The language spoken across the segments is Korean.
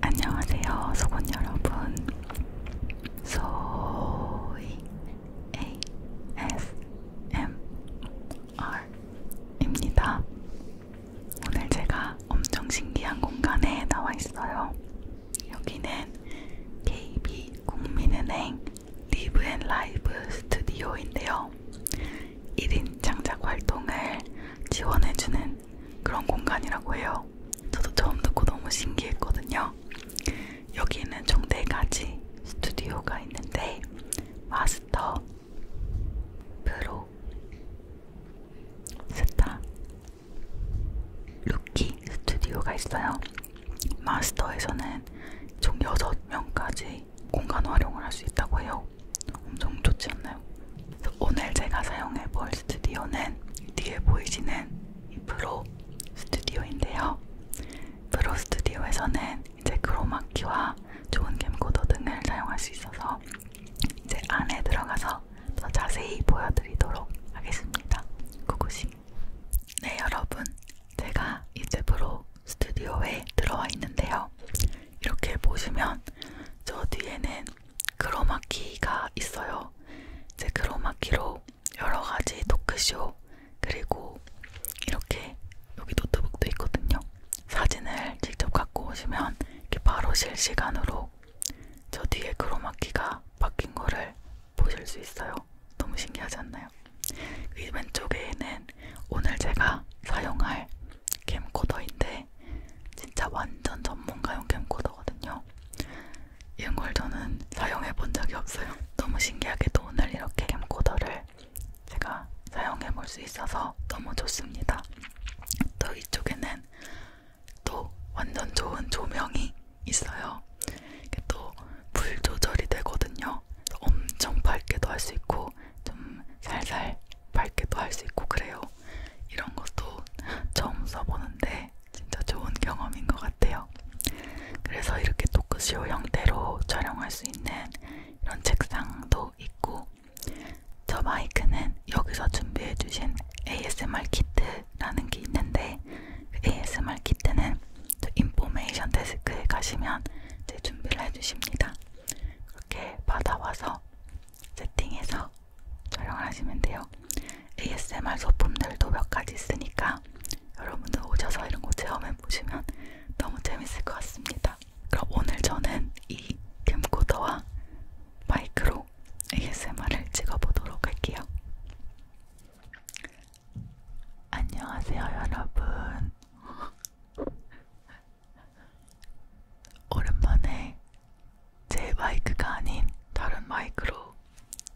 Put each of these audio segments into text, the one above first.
안녕하세요, 소곤 여러분. 소이 ASMR입니다. 오늘 제가 엄청 신기한 공간에 나와 있어요. 여기는 KB 국민은행 리브 앤 라이브 스튜디오인데요. 1인 창작 활동을 지원해주는 그런 공간이라고 해요. 저도 처음 듣고 너무 신기했거든요. 여기는 총 4가지 스튜디오가 있는데 마스터, 프로, 스타 루키 스튜디오가 있어요. 마스터에서는 총 6명까지 공간 활용을 할 수 있다고 해요. 엄청 좋지 않나요? 오늘 제가 사용해볼 스튜디오는 뒤에 보이시는 이 프로 스튜디오인데요. 프로 스튜디오에서는 이제 크로마키와 좋은 캠코더 등을 사용할 수 있어서 이제 안에 들어가서 있어서 더 자세히 보여드리도록 하겠습니다. 고고싱. 네, 여러분. 제가 이제 프로 스튜디오에 들어와 있는데요. 이렇게 보시면 저 뒤에는 크로마키가 있어요. 제 크로마키로 여러 가지 토크쇼 그리고 이렇게 여기 노트북도 있거든요. 사진을 직접 갖고 오시면 이렇게 바로 실시간으로 저 뒤에 크로마키가 바뀐 거를 보실 수 있어요. 너무 신기하지 않나요? 이 왼쪽에는 오늘 제가 사용할 캠코더인데 진짜 완전 전문가용 캠코더거든요. 이런 걸 저는 사용해 본 적이 없어요. 너무 신기하게도 오늘 이렇게 캠코더를 제가 사용해 볼 수 있어서 너무 좋습니다. 또 이쪽에는 있지만 또 완전 좋은 조명이 있어요. 이게 또 불 조절이 되거든요. 엄청 밝게도 할 수 있고 좀 살살 밝게도 할 수 있고 그래요. 이런 것도 처음 써보는데 진짜 좋은 경험인 것 같아요. 그래서 이렇게 토크쇼 형태로 촬영할 수 있는 이런 책상도 있고 저 마이크는 여기서 준비해주신 ASMR 키트라는 게 있는데 그 ASMR 키트는 저 인포메이션 데스크에 가시면 제 준비를 해주십니다. 그렇게 받아와서 세팅해서 촬영을 하시면 돼요. ASMR 소품들도 몇 가지 있으니까 여러분들 오셔서 이런 거 체험해 보시면 너무 재밌을 것 같습니다. 그럼 오늘 저는 이 캠코더와 마이크로 ASMR을 찍어보도록 할게요. 안녕하세요, 여러분. 오랜만에 제 마이크가 아닌 다른 마이크로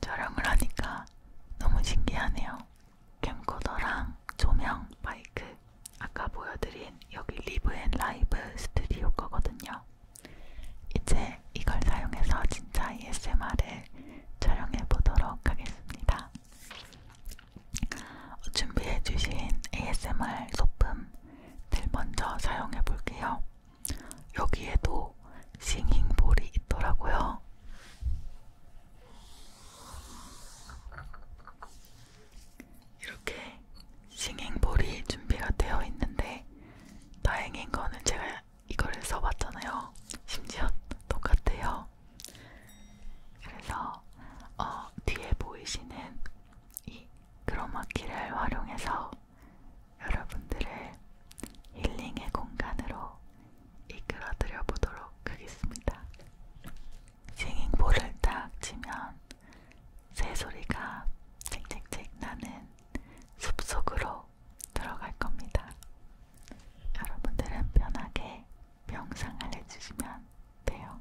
촬영을 하니까 너무 신기하네요. 캠코더랑 조명, 마이크 아까 보여드린 여기 리브앤 라이브 스튜디오 거거든요. 이제 이걸 사용해서 진짜 ASMR을 촬영해 보도록 하겠습니다. 준비해 주신 ASMR 소품들 먼저 사용해 볼게요. 여기에도 싱잉볼이 있더라고요. 이렇게 싱잉볼이 준비가 되어 있는데 다행인 거는 제가 이걸 써봤잖아요. 심지어 똑같아요. 그래서 어, 뒤에 보이시는 이 크로마키를 활용해서 여러분들을 힐링의 공간으로 이끌어드려 보도록 하겠습니다. 싱잉볼을 딱 치면 새소리가 쨍쨍쨍 나는 숲속으로 들어갈 겁니다. 여러분들은 편하게 명상을 해주시면 돼요.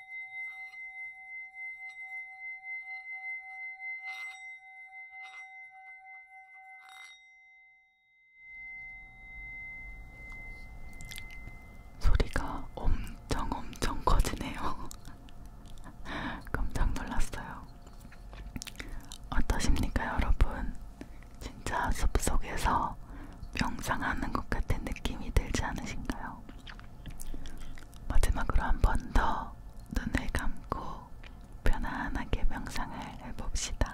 소리가 엄청 엄청 커지네요. 깜짝 놀랐어요. 어떠십니까, 여러분? 진짜 숲속에서 명상하는 것 같은 느낌이 들지 않으신가요? 마지막으로 한 번 더 눈을 감고 편안하게 명상을 해봅시다.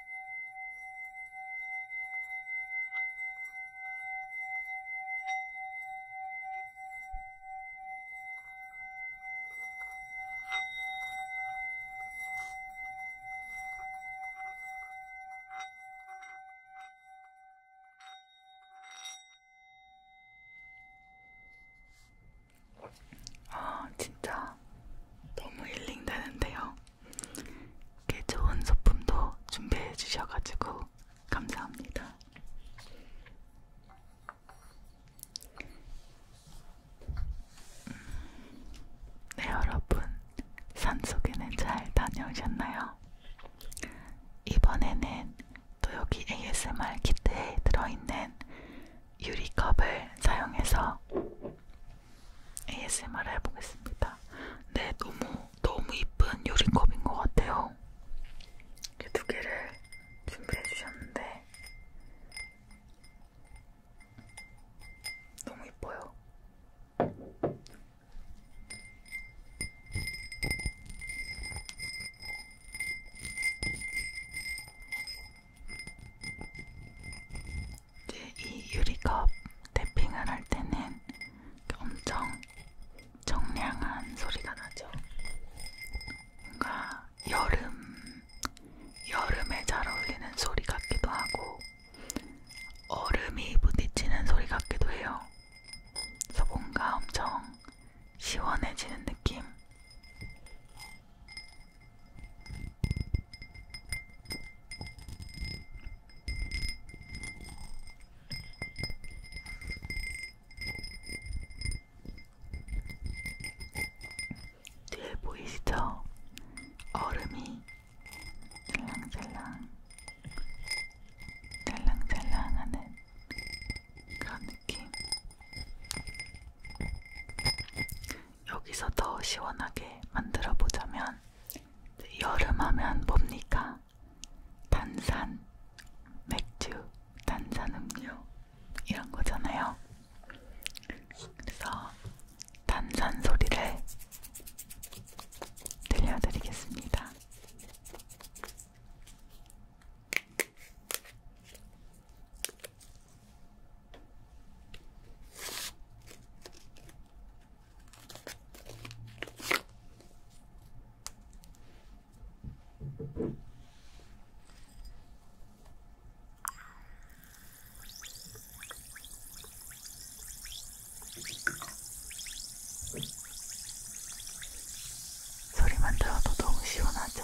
아, 진짜 너무 힐링되는데요. 꽤 좋은 소품도 준비해 주셔가지고 감사합니다. 음, 네 여러분 산속에는 잘 다녀오셨나요? 이번에는 또 여기 ASMR 키트에 들어있는 유리컵을 사용해서 ASMR을 해보겠습니다. 네, 너무 너무 이쁜 요리컵인 것 같아요. 이두 개를 준비해 주셨는데 너무 이뻐요. 이제 이 유리컵 탭핑을 할 때는 엄청 정량한 소리가 나죠. 뭔가 여름, 여름에 잘 어울리는 소리 같기도 하고 얼음이 부딪히는 소리 같기도 해요. 그래서 뭔가 엄청 시원해지는 느낌? 뒤에 보이시죠? 얼음이 찰랑찰랑 찰랑찰랑하는 그런 느낌 여기서 더 시원하게 만들어 보자면 여름하면 뭡니까? 탄산, 맥주, 탄산음료 이런 거잖아요. 그래서 탄산 소리를 들려드리겠습니다. 소리만 들어도 너무 시원하죠?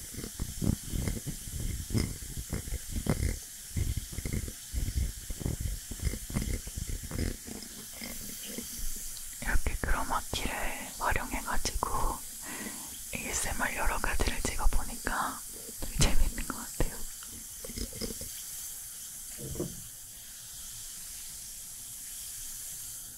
이렇게 크로마키를 활용해가지고 ASMR 여러 가지를 찍어보니까 좀 재밌는 것 같아요.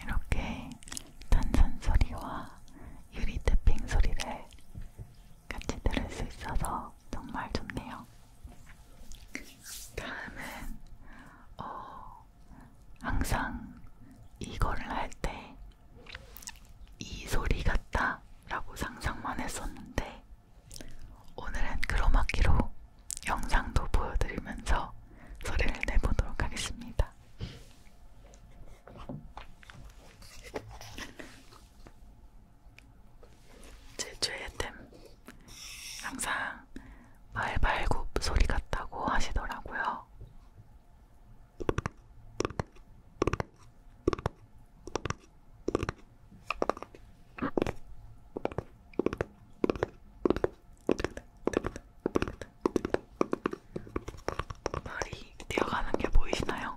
이렇게 탄산 소리와 유리 태핑 소리를 같이 들을 수 있어서 정말 좋네요. 다음은 어, 항상 이거를 할 때 이 소리 같다 라고 상상만 했었는데 오늘은 크로마키로 영상도 보여드리면서 소리를 내보도록 하겠습니다. 제 최애템 항상 말발굽 소리 같다고 하시더라고요. 말이 뛰어가는 게 보이시나요?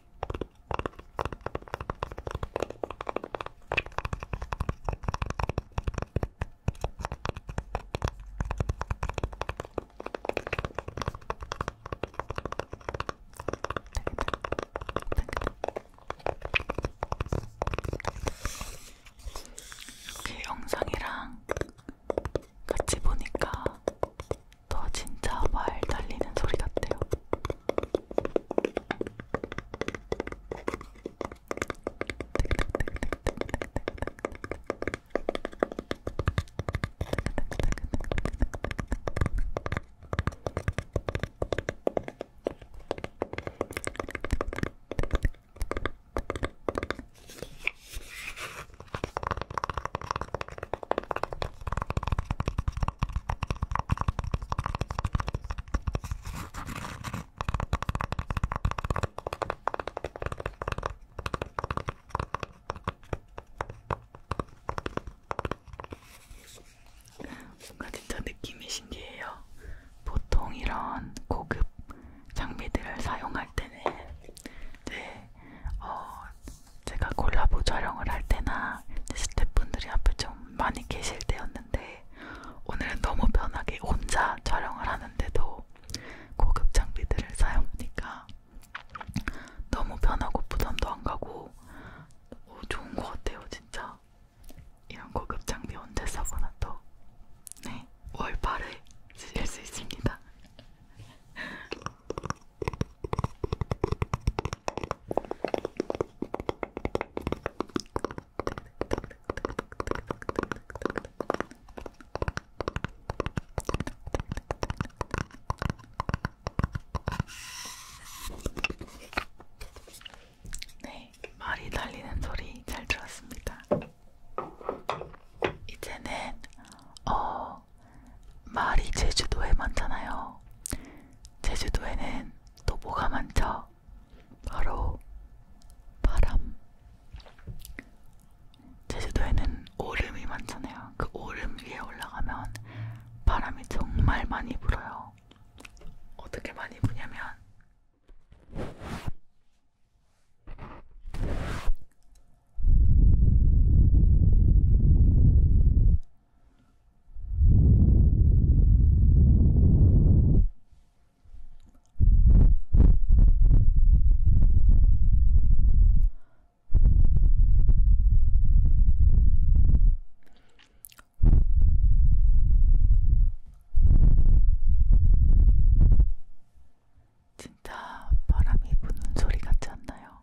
이렇게 영상이랑 같이 보니까 더 진짜 말 달리는 소리 같아요. 뭔가 진짜 느낌이 신기해요. 보통 이런 고급 장비들을 사용할 때는 이제 어 제가 콜라보 촬영을 할 때나 스태프분들이 앞에 좀 많이 계실 때였는데 오늘은 너무 편하게 혼자 촬영을 하는데도 고급 장비들을 사용하니까 너무 편하고 부담도 안 가고 오, 어, 좋은 것 같아요 진짜 이런 고급 장비 언제 써보나 또 네, 월팔에 쓰실 수 있습니다 네, 말이 달리는 소리 잘 들었습니다. 이제는 어 말이 제주도에 많잖아요. 제주도에는 또 뭐가 많죠? 바로 바람. 제주도에는 오름이 많잖아요. 그 오름 위에 올라가면 바람이 정말 많이 불어요. 어떻게 많이 부냐면 진짜 바람이 부는 소리 같지 않나요?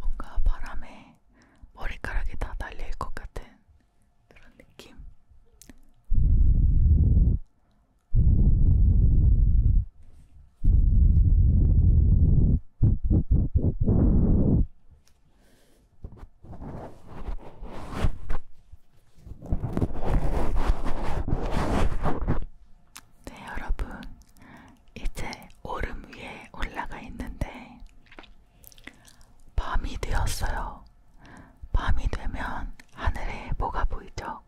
뭔가 바람에 머리카락이 다 날릴 것 같은 그런 느낌. 네, 여러분. 이제 오름 위에 올라가 있는데, 밤이 되었어요. 밤이 되면 하늘에 뭐가 보이죠?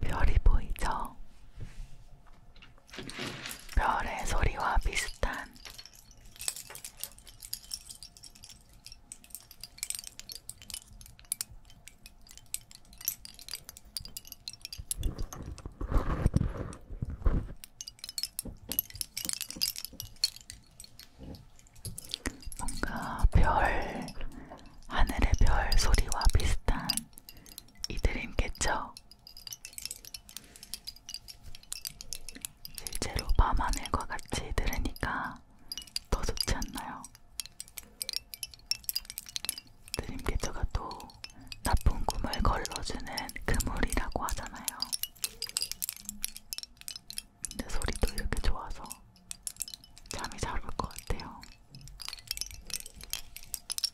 별이 보이죠? 별의 소리와 비슷한 뭔가 별, 하늘의 별 소리와 비슷한 이들임겠죠? 실제로 밤하늘과 같이 들으니까 더 좋지 않나요? 드림캐쳐가 또 나쁜 꿈을 걸러주는 그물이라고 하잖아요. 근데 소리도 이렇게 좋아서 잠이 잘 올 것 같아요.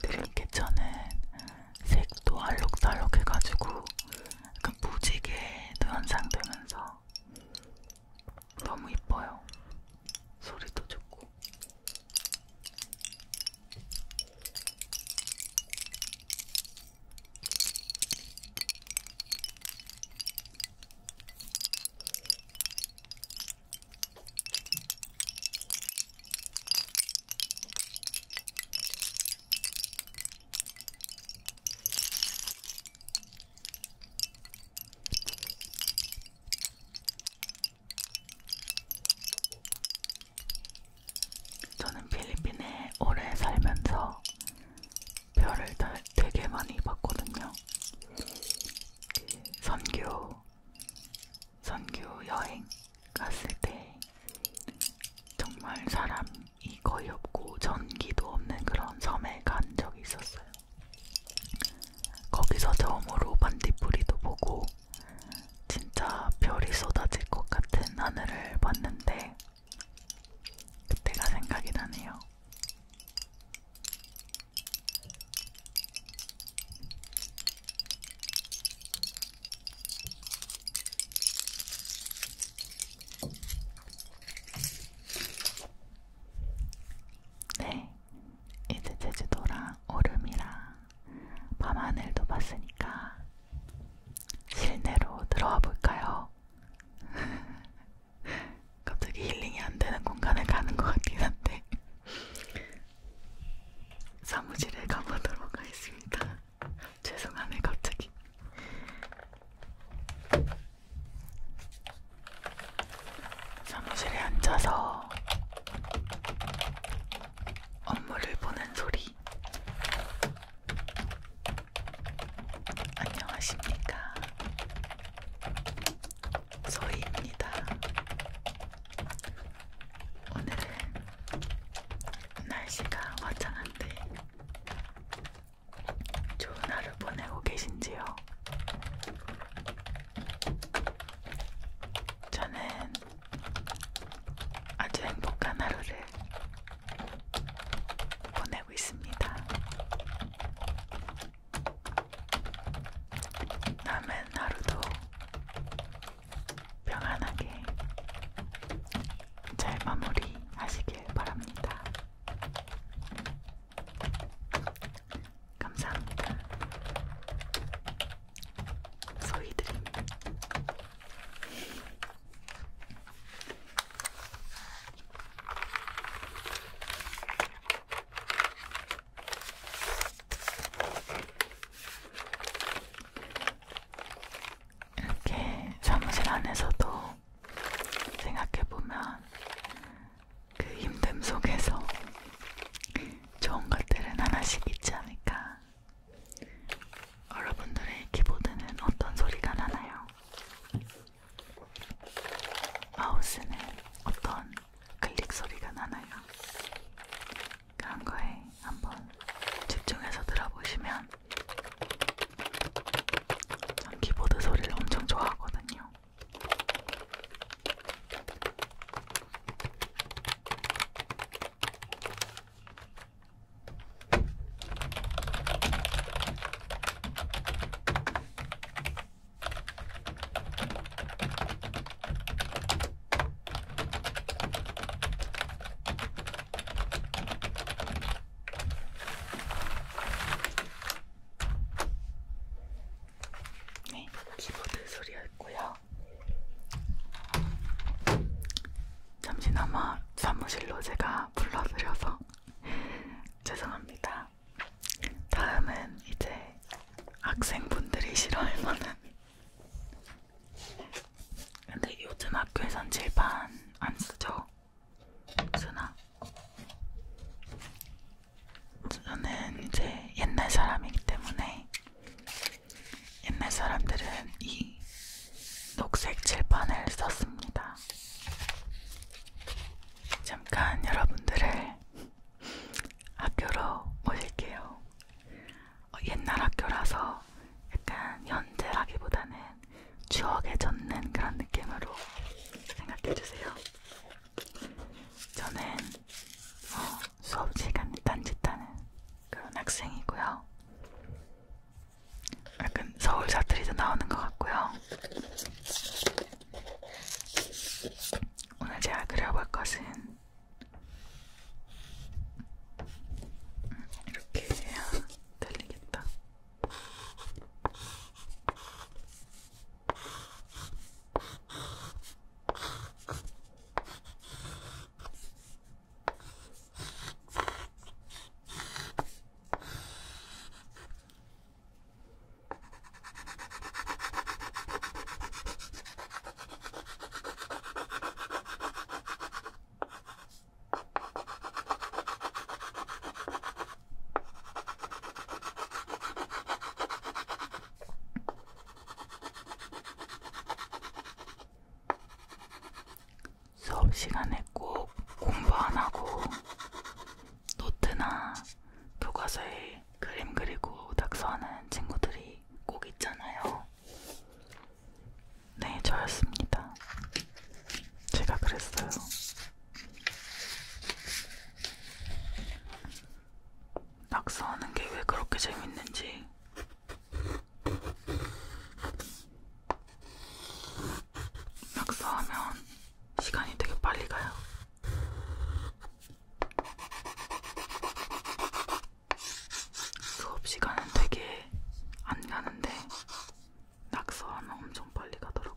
드림캐쳐는 색도 알록달록해가지고 약간 무지개도 연상되면서 너무 이뻐요. 소리도 좋고. 저는 필리핀에 오래 살면서 별을 다 되게 많이 봤거든요. 선교, 선교 여행 갔을 때 정말 사람이 거의 없고 전기도 없는 그런 섬에 간 적이 있었어요. 거기서 처음으로 반딧불이도 보고 진짜 별이 쏟아질 것 같은 하늘을 봤는데 그때가 생각이 나네요. 네, 이제 제주도랑 오름이랑 밤하늘도 봤으니까 실내로 들어와 볼까요? 갑자기 힐링이 안 되는 공간에 가는 것 같긴 한데 사무실에 가보도록 하겠습니다. 죄송하네 갑자기. 사무실에 앉아서 업무를 보는 소리. 안녕하십니까. 소희입니다. 오늘은 날씨가 화창한데 좋은 하루 보내고 계신지요? 저는 아주 행복한 하루를 보내고 있습니다. 남은 하루도 평안하게 잘 마무리하시길 바랍니다. 감사합니다. 소희드림. 이렇게 사무실 안에서도 생각해보면 그 힘듦 속에서 좋은 것들은 하나씩 있지 않을까. 여러분들의 키보드는 어떤 소리가 나나요? 마우스는 어떤 클릭 소리가 나나요? 그런 거에 한번 집중해서 들어보시면 전 키보드 소리를 엄청 좋아하거든요. 네, 키보드 소리였고요. 잠시나마 사무실로 제가 불러드려서 죄송합니다. 다음은 이제 학생분들이 싫어할 만한 근데 요즘 학교에선 칠판 안 쓰죠? 쓰나? 저는 이제 옛날 사람이기 때문에 옛날 사람들은 이 녹색 칠판을 썼습니다. 잠깐 여러분들을 학교로 모실게요. 어, 옛날 학교라서 약간 현재라기보다는 추억에 젖는 그런 느낌으로 생각해주세요. 저는 어, 수업 시간에 딴짓하는 그런 학생이고요. 약간 서울 사투리도 나오는 것 같고요. 오늘 제가 그려볼 것은 이렇게 해야 달리겠다. 수업 시간에 꼭 공부 안 하고 노트나 교과서에 그림 그리고 낙서하는 친구들이 꼭 있잖아요. 네, 저였습니다. 제가 그랬어요. 낙서하는 게 왜 그렇게 재밌는지. 낙서하면 시간이 되게 빨리 가요. 수업 시간은 되게 안 가는데 낙서하면 엄청 빨리 가더라고.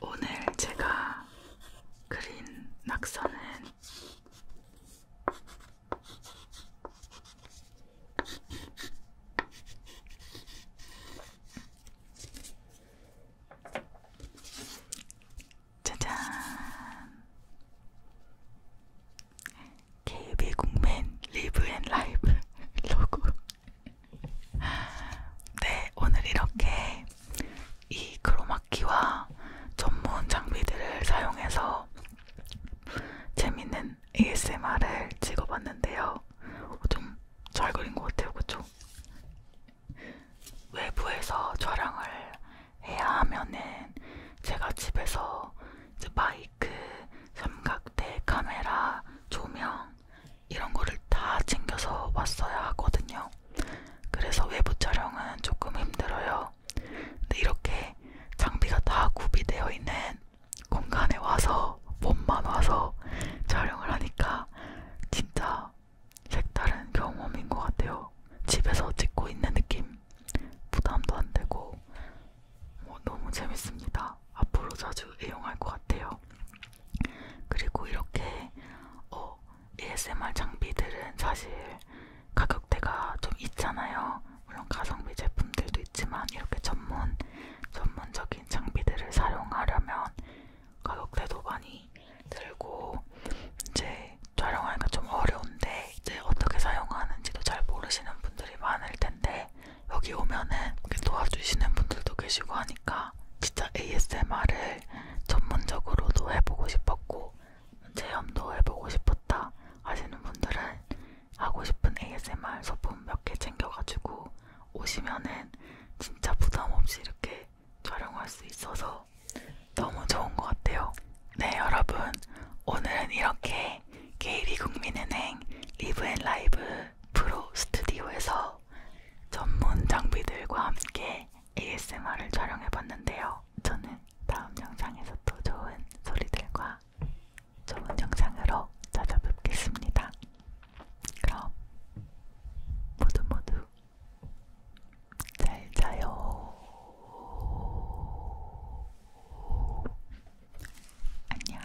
오늘 제가 그린 낙서는 짜잔! KB 국민 리브 앤 라이브 로고. 네, 오늘 이렇게 이 크로마키와 전문 장비들을 사용해서 재밌는 ASMR을 찍어봤는데요. 어, 좀잘 그린 것 같아요, 그쵸? 외부에서 촬영을 해야 하면은 제가 집에서 이제 마이크, 삼각대, 카메라, 조명 이런 거를 다 챙겨서 왔어야 하거든요. 그래서 외부 촬영은 조금 힘들어요. 근데 이렇게 장비가 다 구비되어 있는 공간에 와서 몸만 와서 촬영을 하니까 진짜 색다른 경험인 것 같아요. 집에서 찍고 있는 느낌 부담도 안 되고 뭐 너무 재밌습니다. 앞으로 자주 이용할 것 같아요. 그리고 이렇게 어, ASMR 장비들은 사실 가격대가 좀 있잖아요. 물론 가성비 제품들도 있지만 이렇게 전문 전문적인 장비들을 사용하려면 가격대도 많이 들고 이제 촬영하기가 좀 어려운데 이제 어떻게 사용하는지도 잘 모르시는 분들이 많을 텐데 여기 오면은 도와주시는 분들도 계시고 하니까 진짜 ASMR을 전문적으로도 해보고 싶었고 체험도 해보고 싶었다 하시는 분들은 하고 싶은 ASMR 소품 몇 개 챙겨가지고 오시면은 진짜 부담 없이 이렇게 촬영할 수 있어서 너무 좋은 것 같아요. 네 여러분 오늘은 이렇게 KB 국민은행 리브앤라이브 프로 스튜디오에서 전문 장비들과 함께 ASMR을 촬영해봤는데요. 저는 다음 영상에서 또 좋은 소리들과 좋은 영상으로 찾아뵙겠습니다. 그럼 모두 모두 잘 자요. 안녕.